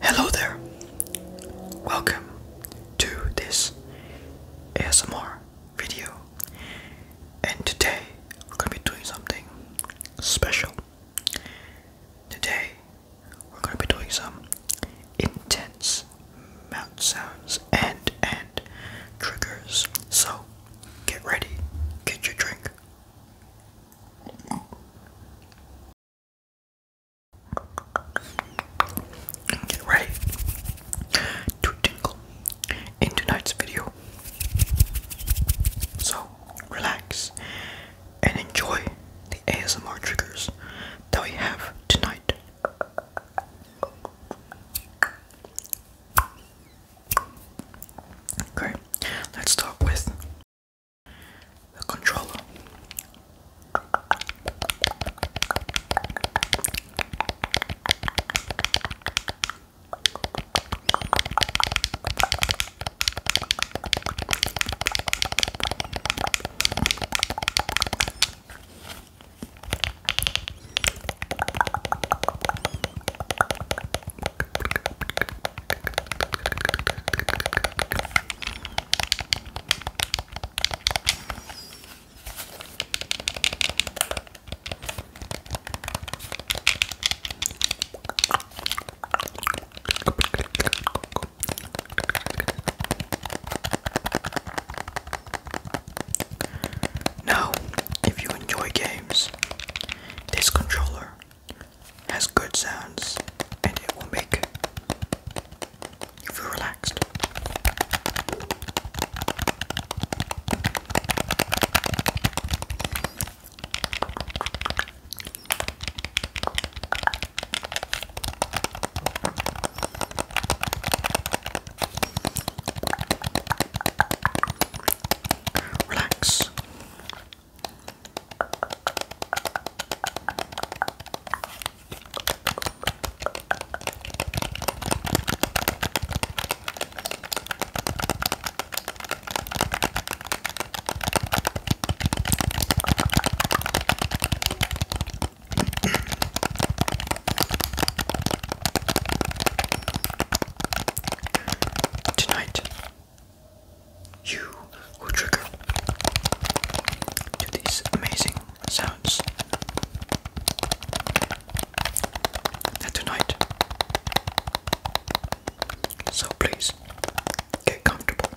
Hello there. Welcome to this ASMR video. And today we're going to be doing something special. Today we're going to be doing some intense mouth sounds and and triggers. So get ready, get your drink, Get to tingle in tonight's video. So relax and enjoy the ASMR triggers that we have tonight. Okay, let's start with the controller. Now, if you enjoy games, this controller has good sounds and it will make you feel relaxed. Relax. Tonight you will trigger to these amazing sounds. tonight, so please get comfortable,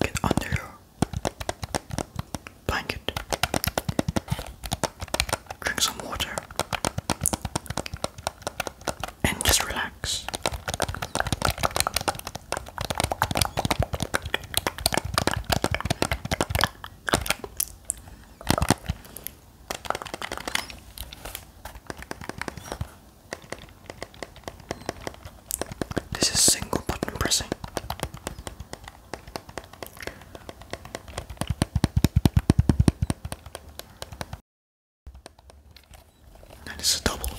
get under your blanket, drink some water, and just relax. This is single button pressing. And it's a double.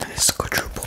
And it's a quadruple.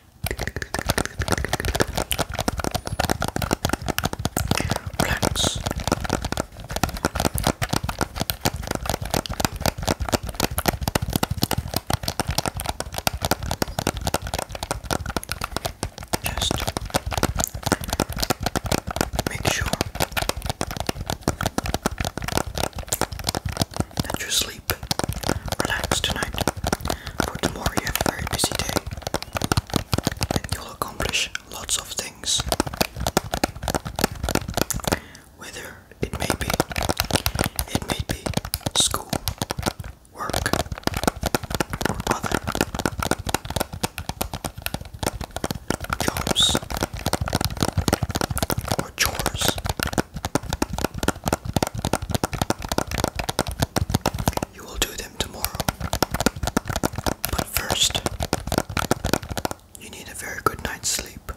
Plants. Just make sure that you sleep. Relax tonight. For tomorrow you have a very busy day. you'll accomplish lots of things. Whether it may be it may be school, work, or other jobs chores. You will do them tomorrow. But first, you need a very good night's sleep.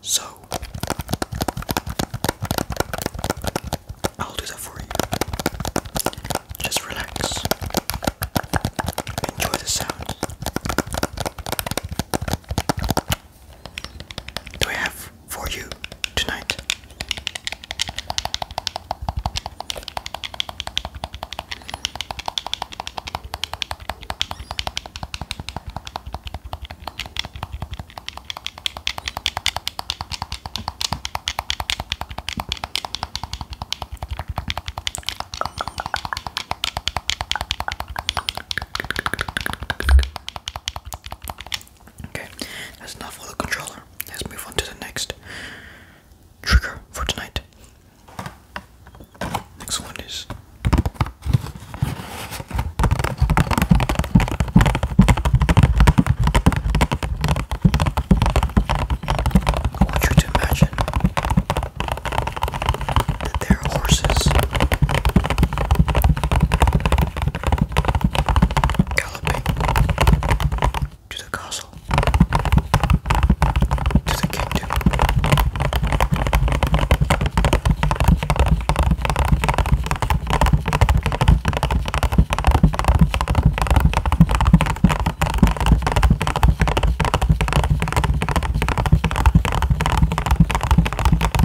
So, I'll do that for you. Just relax. Enjoy the sound do I have for you tonight? Okay, that's enough for the controller. Let's move on to the next trigger for tonight. Next one is I want you to imagine there their horses. Galloping to the castle, to the kingdom.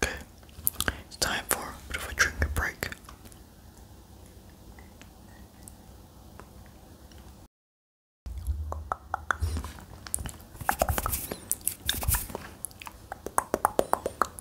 Okay, it's time for a bit of a drink and break.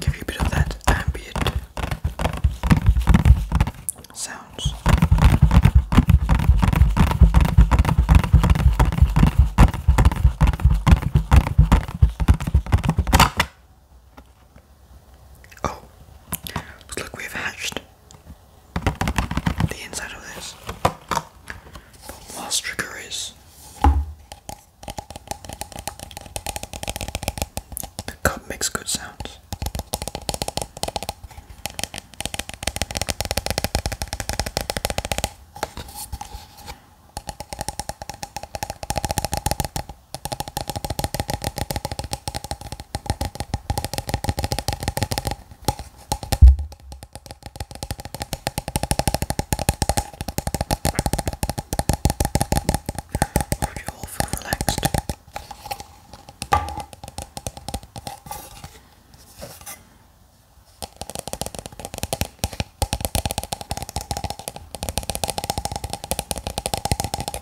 Give you a bit of that ambient sounds. Oh, look, we've hatched the inside of this. But trigger is the cup makes good sounds. Hope you all feel relaxed.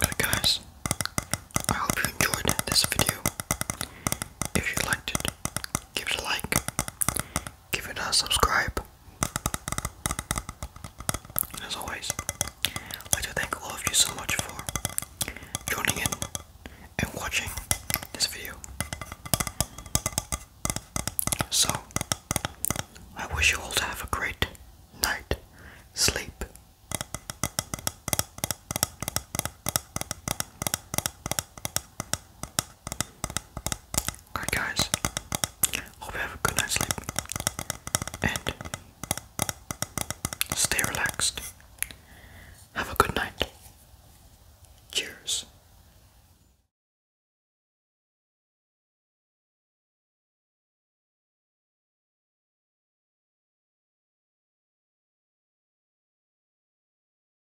Good guys, I hope you enjoyed this video. If you liked it, give it a like give it a subscribe. And as always, I'd like to thank all of you so much for joining in and watching this video. So, I wish you all to have a great night, sleep, Alright guys, hope you have a good night's sleep and stay relaxed. Have a good night. Cheers.